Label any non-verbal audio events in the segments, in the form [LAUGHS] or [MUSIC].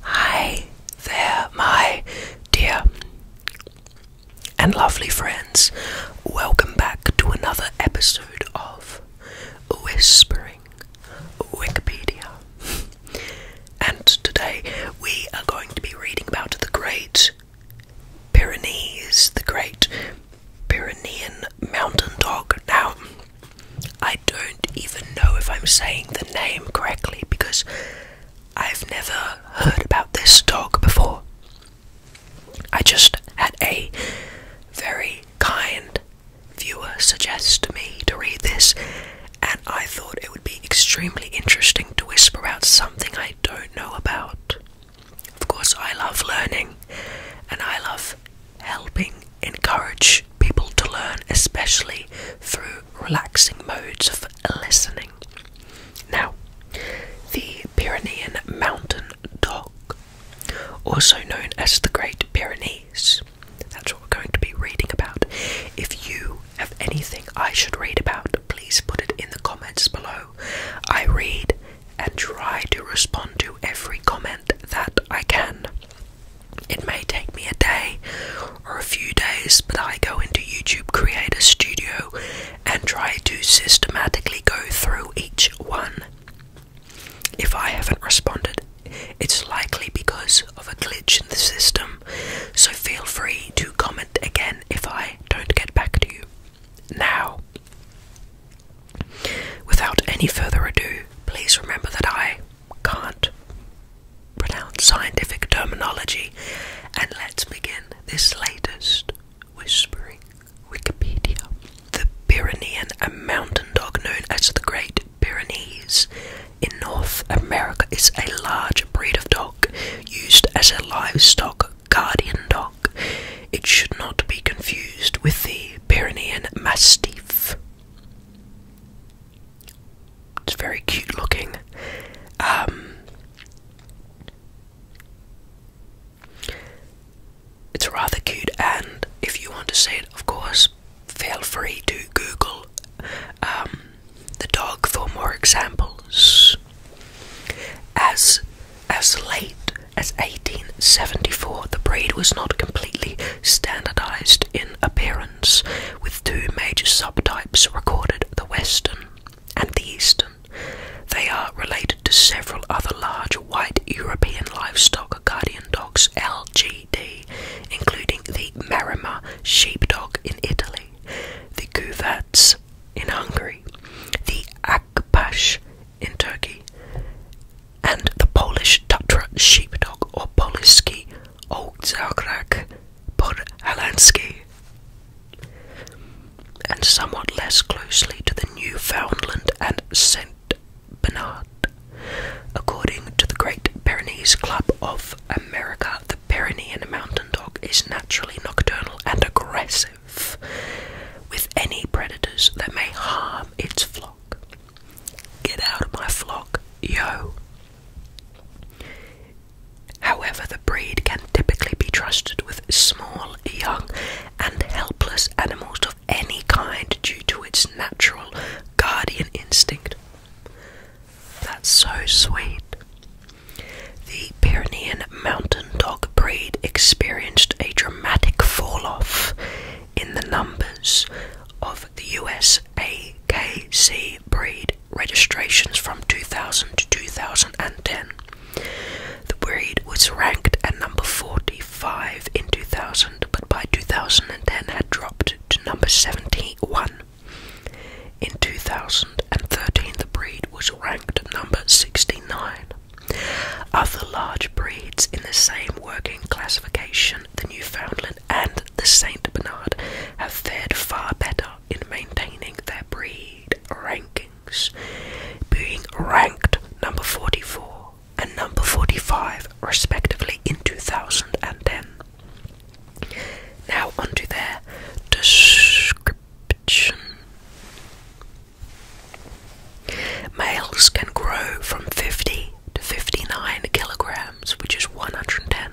Hi there, my dear and lovely friends. Welcome back to another episode of Whispering Wikipedia. And today we are going to be reading about the Great Pyrenees, the Great Pyrenean Mountain Dog. Now, I I don't even know if I'm saying the name correctly because I've never heard about this dog before. I just had a very kind viewer suggest to me to read this, and I thought it would be extremely interesting to whisper about something I don't know about. Of course, I love learning and I love helping encourage people to learn, especially through relaxing modes of listening. Now, the Pyrenean mountain dog, also known as the Great Pyrenees, that's what we're going to be reading about. If you have anything I should read about, please put it in the comments below. I read and try to respond to every comment that I can. It may take me a day or a few days, but I go into YouTube Creator Studio and try to systematically go through each one. If I haven't responded, it's likely because of a glitch in the system, so feel free to comment again if I don't get back to you. Now, without any further ado, please remember that I can't pronounce scientific terminology. And let's begin this latest whispering Wikipedia. The Pyrenean, a mountain dog known as the Great Pyrenees in North America, is a large breed of dog used as a livestock guardian dog. It should not be confused with the Pyrenean Mastiff. It's very cute looking. Um, it's rather cute, and if you want to see it, of course, feel free to Google um, the dog for more examples. As as late as 1874, the breed was not completely standardized in appearance with two major subtypes recorded the western and the eastern. They are related to several other large white European livestock guardian dogs, LGD, including the Marima sheepdog in Italy, the Guvats in Hungary, the Akbash in Turkey, and the Polish Tatra sheepdog or Poliski Oldzagrag Podhalansky, and somewhat less closely to the Newfoundland and St. Bernard. According to the Great Pyrenees Club of America, the Pyrenean mountain dog is naturally nocturnal and aggressive with any predators that may harm its flock. Get out of my flock, yo! However, the breed can typically be trusted with small, young, and helpless animals of any kind due to its natural guardian instinct. That's so sweet. The Pyrenean mountain dog breed experienced a dramatic fall off in the numbers of of the USAKC breed registrations from 2000 to 2010. The breed was ranked at number 45 in 2000, but by 2010 had dropped to number 71. In 2013, the breed was ranked number 69. Other large breeds in the same working classification the Newfoundland, and the Saint Bernard have fared far better in maintaining their breed rankings, being ranked number 44 and number 45 respectively in 2010. Now onto their description. Males can grow from 50 to 59 kilograms, which is 110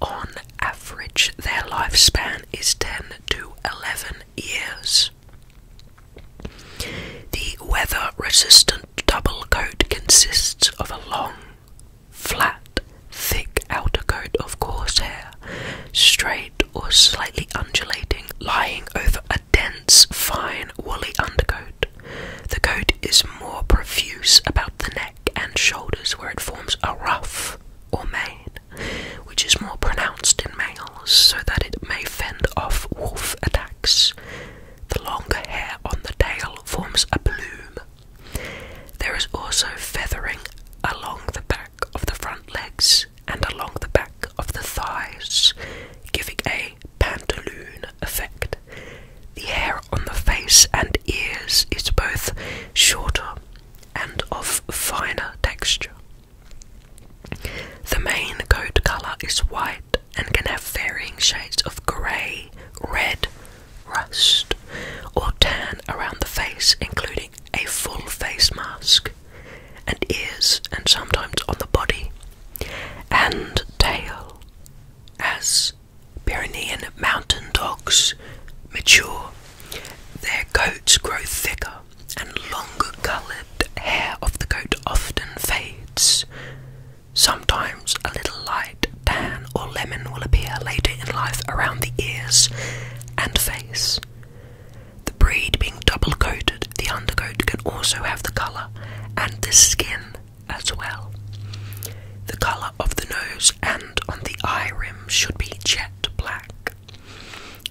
On average, their lifespan is 10 to 11 years. The weather resistant double coat consists of a long, flat, thick outer coat of coarse hair, straight or slightly undulating, lying over a dense, fine, woolly undercoat. The coat is more profuse about the neck and shoulders where it forms a ruff or mane, which is more pronounced in males so that it may fend off wolf attacks. The longer hair on the tail forms a plume. There is also feathering along the back of the front legs and along the back of the thighs, giving a pantaloon effect. The hair on the face and ears it's both shorter and of finer texture. The main coat colour is white and can have varying shades of grey, red, rust, or tan around the face, including a full face mask, and ears, and sometimes on the body, and tail, as Pyrenean mountain dogs mature. Their coats grow thicker, and longer coloured hair of the coat often fades. Sometimes a little light tan or lemon will appear later in life around the ears and face. The breed being double coated, the undercoat can also have the colour and the skin as well. The colour of the nose and on the eye rim should be jet black.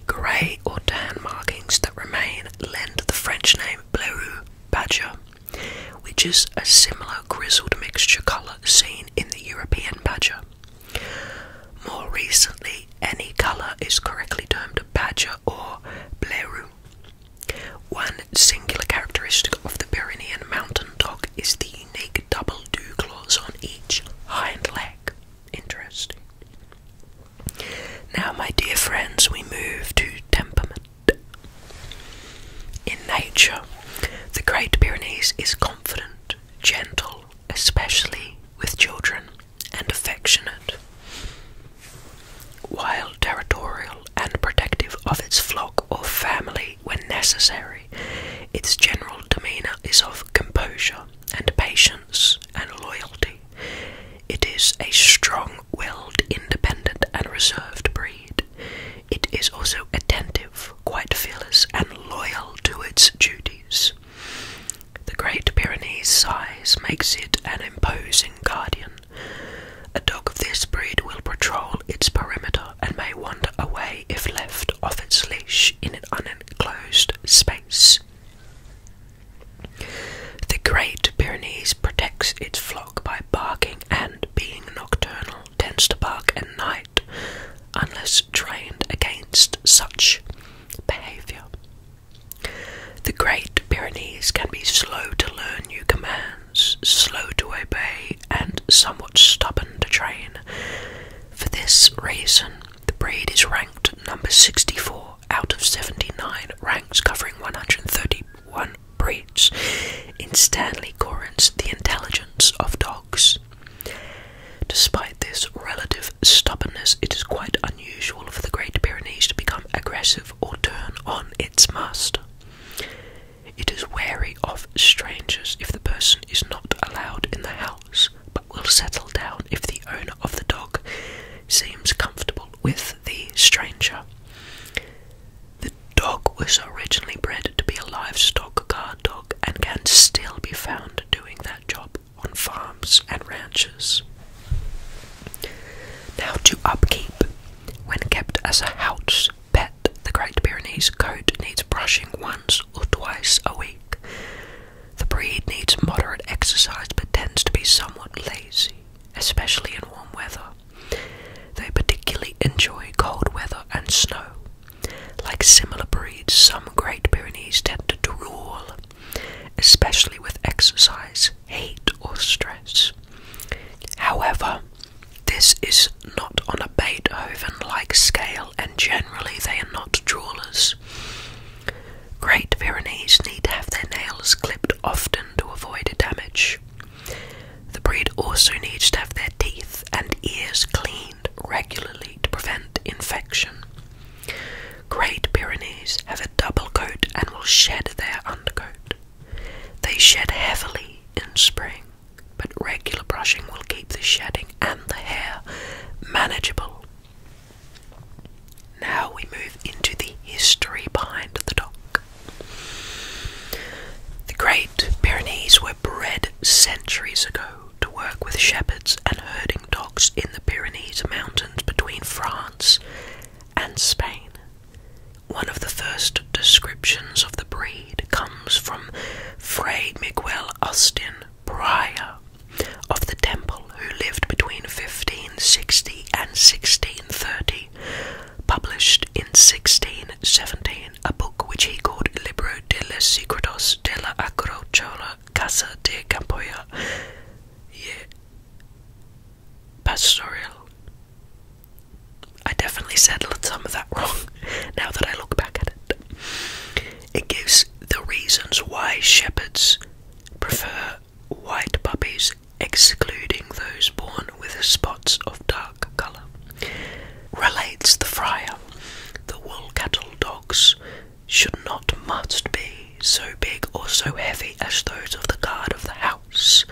Grey or tan markings that remain lend the French name Bleu Badger, which is a similar grizzled mixture colour seen in the European badger. More recently, any colour is correctly termed a badger or blaireau. One singular characteristic of the Pyrenean mountain dog is the unique double dew claws on each hind leg. Interesting. Now, my dear friends, we move to temperament. In nature, the Great Pyrenees is confident, gentle, especially with children, and affectionate. While territorial and protective of its flock, or family when necessary. Its general demeanour is of composure and patience and loyalty. It is a strong willed, independent, and reserved breed. It is also attentive, quite fearless, and loyal to its duties. The Great Pyrenees size makes it an imposing guardian. A dog of this breed will patrol its perimeter and may wander away if left off its leash in an unenclosed space. The Great Pyrenees protects its flock by barking and, being nocturnal, tends to bark at night unless trained against such behaviour. The Great Pyrenees can be slow to learn new commands slow to obey, and somewhat stubborn to train. For this reason, the breed is ranked number 64 out of 79 ranks covering 131 breeds in Stanley Corin's The Intelligence of Dogs. Despite this relative stubbornness, it is quite unusual for the Great Pyrenees to become aggressive or turn on its master. It is wary of strangers if the person is not allowed in the house, but will settle down if the owner of the dog seems comfortable with the stranger. The dog was originally bred to be a livestock guard dog and can still be found doing that job on farms and ranches. Now, to upkeep, when kept as a house, pet, the Great Pyrenees coat needs brushing once or twice a week. The breed needs moderate exercise but tends to be somewhat lazy, especially in warm weather. They particularly enjoy cold weather and snow. Like similar breeds, some Great Pyrenees tend to drool, especially with exercise, heat, or stress. However, this is not on a Beethoven like scale, and generally they are not jewelers. Great Pyrenees need to have their nails clipped often to avoid damage. The breed also needs to have their teeth and ears cleaned regularly to prevent infection. Great Pyrenees have a double coat and will shed their undercoat. They shed heavily in spring but regular brushing will keep the shedding and the hair manageable. Now we move into the history behind the dog. The Great Pyrenees were bred centuries ago to work with shepherds and herding dogs in the Pyrenees Mountains between France and Spain. One of the first descriptions of the breed comes from Fray Miguel Austin, prior of the temple, who lived between 1560 and 1630, published in 1617 a book which he called Libro de los Secretos de la Agricola Casa de Campoya y Pastoral. I definitely said some of that [LAUGHS] wrong now that I look back at it. It gives the reasons why shepherds prefer white puppies, excluding those born with spots of dark colour. Relates the friar, the wool cattle dogs should not must be so big or so heavy as those of the guard of the house,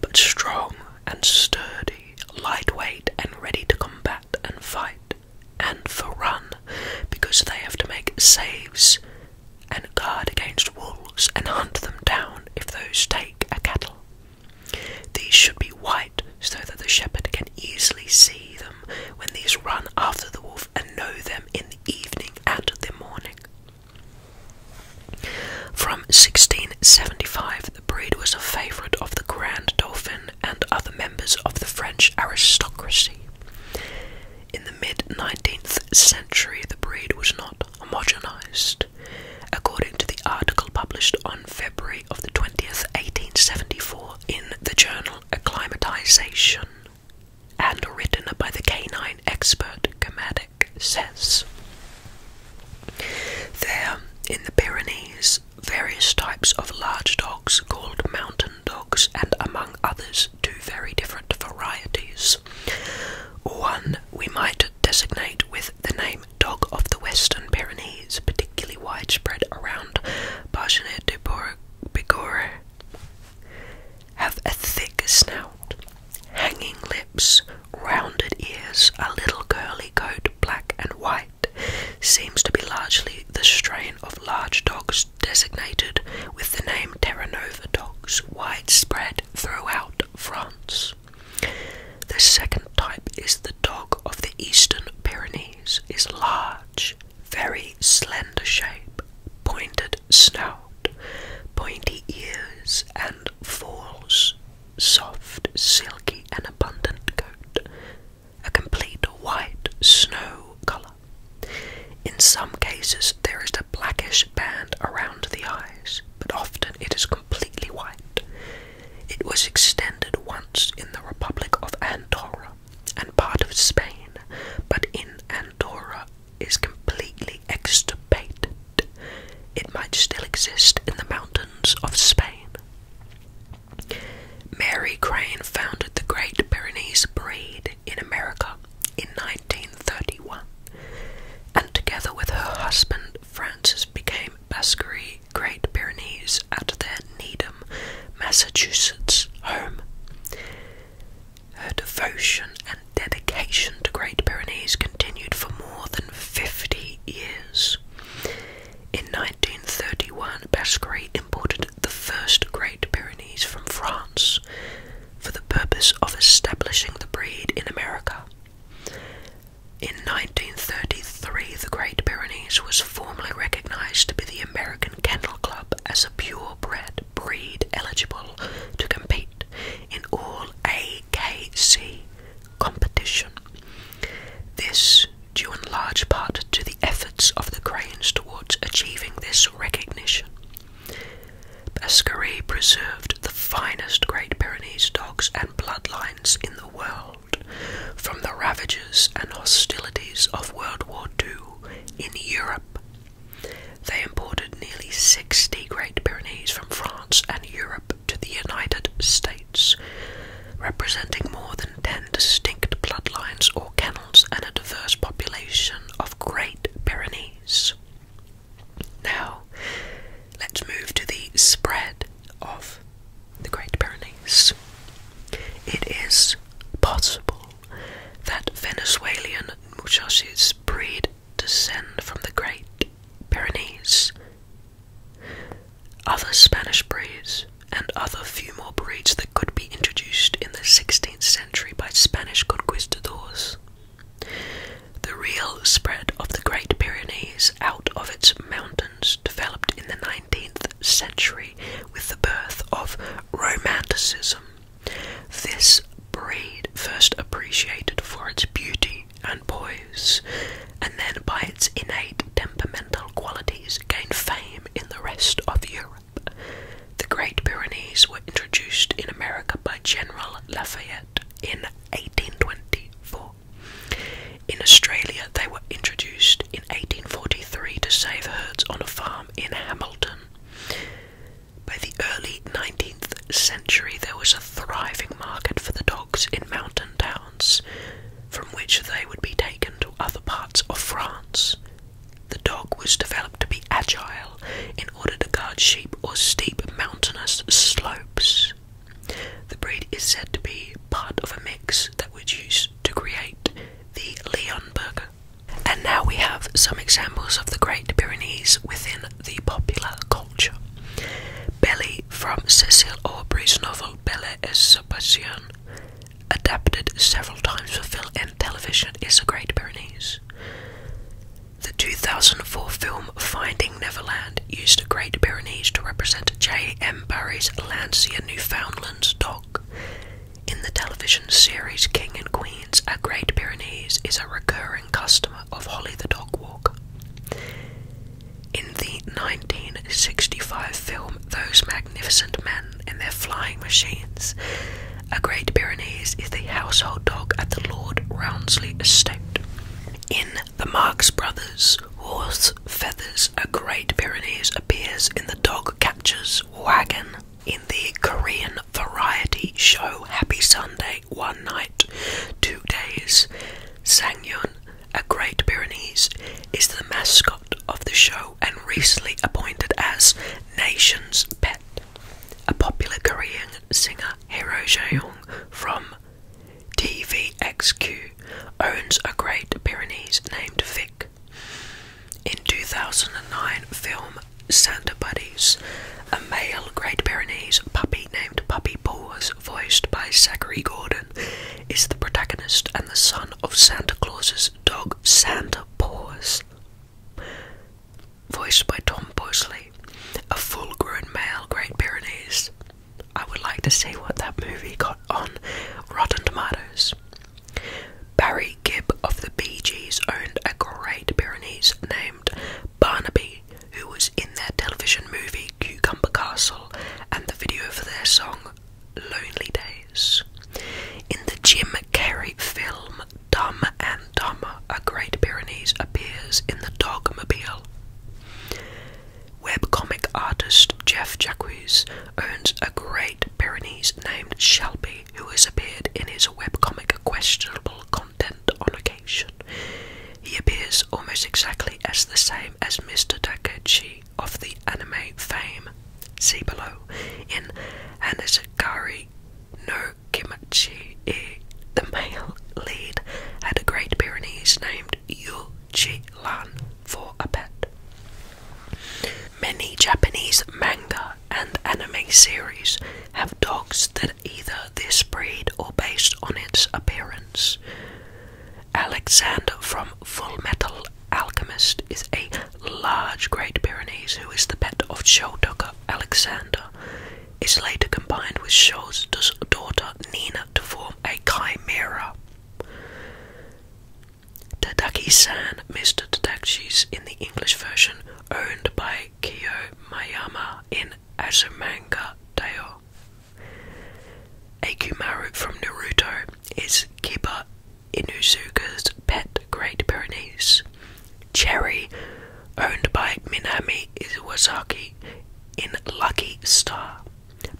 but strong, and sturdy, lightweight and ready to combat and fight, and for run, because they have to make saves and guard against wolves and hunt them down if those take a cattle. These should be white so that the shepherd can easily see them when these run after the wolf and know them in the evening and the morning. From 1675, the breed was a favourite of the Grand Dolphin and other members of the French aristocracy. In the mid 19th century, the breed was not homogenized. According to the article published on February of the 20th, 1874, in the journal Acclimatization, and written by the canine expert Gamatic, says, There, in the Pyrenees, various types of large dogs called mountain dogs, and among others, two very different varieties. One we might designate with the name dog of the Western Pyrenees, particularly widespread around Basque, Bajanet de Bigorre, have a thick snout, hanging lips, rounded ears, a little curly coat, black and white seems to be largely the strain of large dogs designated with the name Terra Nova dogs, widespread throughout France. The second type is the dog of the Eastern Pyrenees, is large, very slender shape, pointed snout, pointy ears, and falls, soft, silky, and abundant coat, a complete white snow colour. In some cases, there is a blackish band around the eyes, but often it is completely white. It was extended once in the Republic of Andorra and part of Spain, but in Andorra is completely extirpated. It might still exist in the mountains of Spain. Mary Crane founded the Great Pyrenees Breed in America in 1931, and together with her husband Francis became Baskery Great Pyrenees at their Needham, Massachusetts home. Her devotion and dedication to Great Pyrenees continued for more than 50 years. In 1931, Basquerie imported the first Great Pyrenees from France for the purpose of establishing the breed in America. In 1933, the Great Pyrenees was formally recognized by the American Kennel Club as a purebred breed eligible to compete in all AKC competition. This, due in large part to the efforts of the Cranes towards achieving this recognition. Bascaree preserved the finest Great Pyrenees dogs and bloodlines in the world from the ravages and hostilities of World War II in Europe. They imported nearly 60 Great Pyrenees from France and Europe to the United States, representing more than ten distinct bloodlines or kennels and a diverse population of Great Pyrenees. Now, let's move to the spread of the Great Pyrenees. It is possible that Venezuelan muchachos breed descend from the Great Pyrenees other Spanish breeds and other few more breeds that could be introduced in the 16th century by Spanish conquistadors. The real spread of the Great Pyrenees out of its mountains developed in the 19th century with the birth of Romanticism. This breed, first appreciated for its beauty and poise, and then by its innate temperament qualities gained fame in the rest of Europe. The Great Pyrenees were introduced in America by General Lafayette in 1824. In Australia, they were introduced in 1843 to save herds on a farm in Hamilton. By the early 19th century, there was a thriving market for the dogs in mountain towns from which they would be taken to other parts of France. The dog was developed to be agile in order to guard sheep or steep mountainous slopes. The breed is said to be part of a mix that was used to create the Leon And now we have some examples of the Great Pyrenees within the popular culture. Belly from Cecil Aubrey's novel Belle et Sebastian, adapted several times for film and television, is a Great Pyrenees. The 2004 film Finding Neverland used a Great Pyrenees to represent J. M. Barrie's Lancia Newfoundland's dog. In the television series King and Queens, a Great Pyrenees is a recurring customer of Holly the Dog Walker. In the 1965 film Those Magnificent Men in Their Flying Machines, a Great Pyrenees is the household dog at the Lord Rounsley estate. In The Marx Brothers, Horse Feathers, a Great Pyrenees appears in the dog catcher's wagon. In the Korean variety show Happy Sunday, One Night, Two Days, Sangyun, a Great Pyrenees is the mascot of the show and recently appointed as Nation's Pet. A popular Korean singer, Hero Jaeyoung from TVXQ, owns a Great Pyrenees named Vic. In 2009 film Santa Buddies, a male Great Pyrenees puppy named Puppy was voiced by Zachary Gordon, is the protagonist and the son of Santa Claus's dog Santa Paws. Voiced by Tom Bosley, a full grown male Great Pyrenees. I would like to see what that movie got on Rotten Tomatoes. Barry Gibb of the Bee Gees owned a Great Pyrenees named Barnaby, who was in their television movie Cucumber Castle and the video for their song Lonely Days. In the Jim Carrey film Dumb and Dumber, a Great Pyrenees appears in the Dogmobile. Webcomic artist Jeff Jacques owns a Great Pyrenees named Shelby, who has appeared in his webcomic questionable content on occasion. He appears almost exactly as the same as Mr. Takechi of the anime fame, see below, in Hanazakari no Kimochi, e. Eh, the male lead had a Great Pyrenees named Yuji Lan for a pet. Many Japanese manga and anime series have dogs that either this breed or based on its appearance. Alexander from Full Metal Alchemist is a large Great Pyrenees who is the pet of showdugger Alexander. Is later combined with Show's daughter Nina to form a chimera. Tadaki-san, Mr. Tadakshi's in the English version, owned by Kiyo Mayama in Azumanga Daioh. Akumaru from Naruto is Kiba Inuzuka's pet Great Pyrenees. Cherry, owned by Minami Iwasaki in Lucky Star.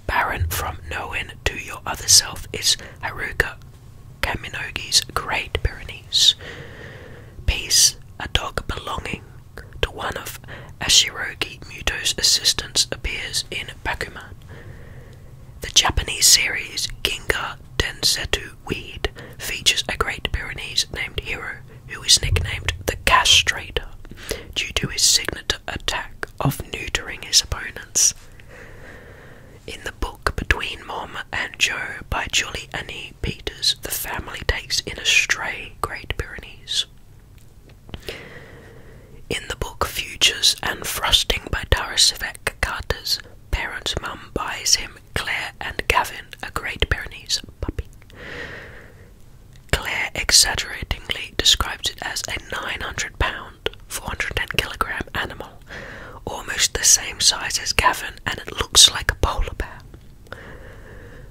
Baron from Knowing to Your Other Self is Haruka Kaminogi's Great Pyrenees. Peace, a dog belonging to one of Ashirogi Muto's assistants, appears in Bakuman. The Japanese series Ginga Densetsu Weed features a Great Pyrenees named Hiro, who is nicknamed the Castrator due to his signature attack of neutering his opponents. In the book Between Mom and Joe by Julie Annie Peters, the family takes in a stray Great Pyrenees. In the book Futures and Frosting by Tarasevec Carter's parents' mum buys him Claire and Gavin, a Great Pyrenees puppy. Claire exaggeratingly describes it as a 900 pound, 410 kilogram animal, almost the same size as Gavin, and it looks like a polar bear.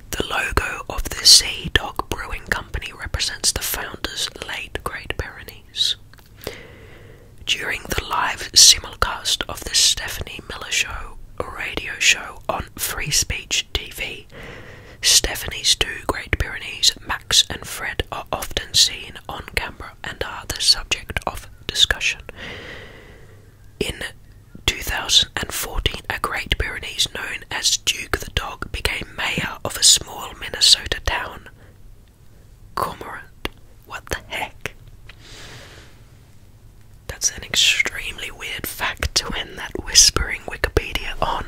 The logo of the Sea Dog Brewing Company represents the founders' late Great Pyrenees. During the live simulcast of the Stephanie Miller Show radio show on Free Speech TV, Stephanie's two Great Pyrenees, Max and Fred, are often seen on camera and are the subject of discussion. In 2014, a Great Pyrenees known as Duke the Dog became mayor of a small Minnesota town, Cormorant. What the heck? That's an extremely weird fact to end that whispering Wikipedia on.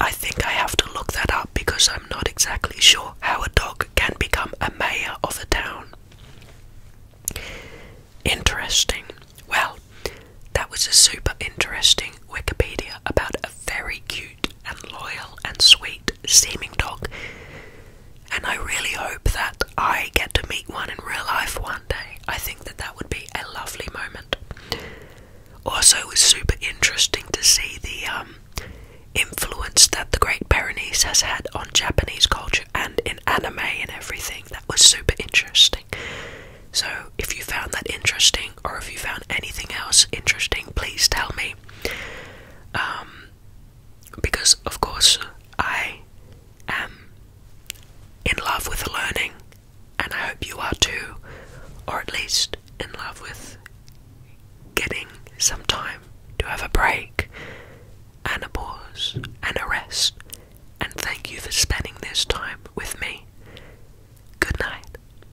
I think I have to look that up because I'm not exactly sure how a dog can become a mayor of a town. Interesting. Well, that was a super interesting Wikipedia about a very cute and loyal and sweet seeming dog. And I really hope that I get to meet one in real life one day. I think that that would be a lovely moment. Also, it was super interesting to see the um, influence that the Great Pyrenees has had on Japanese culture and in anime and everything. That was super interesting. So, if you found that interesting, or if you found anything else interesting, please tell me. Um, because, of course, I am in love with learning, and I hope you are too, or at least in love with getting some time to have a break and a pause and a rest. And thank you for spending this time with me. Good night.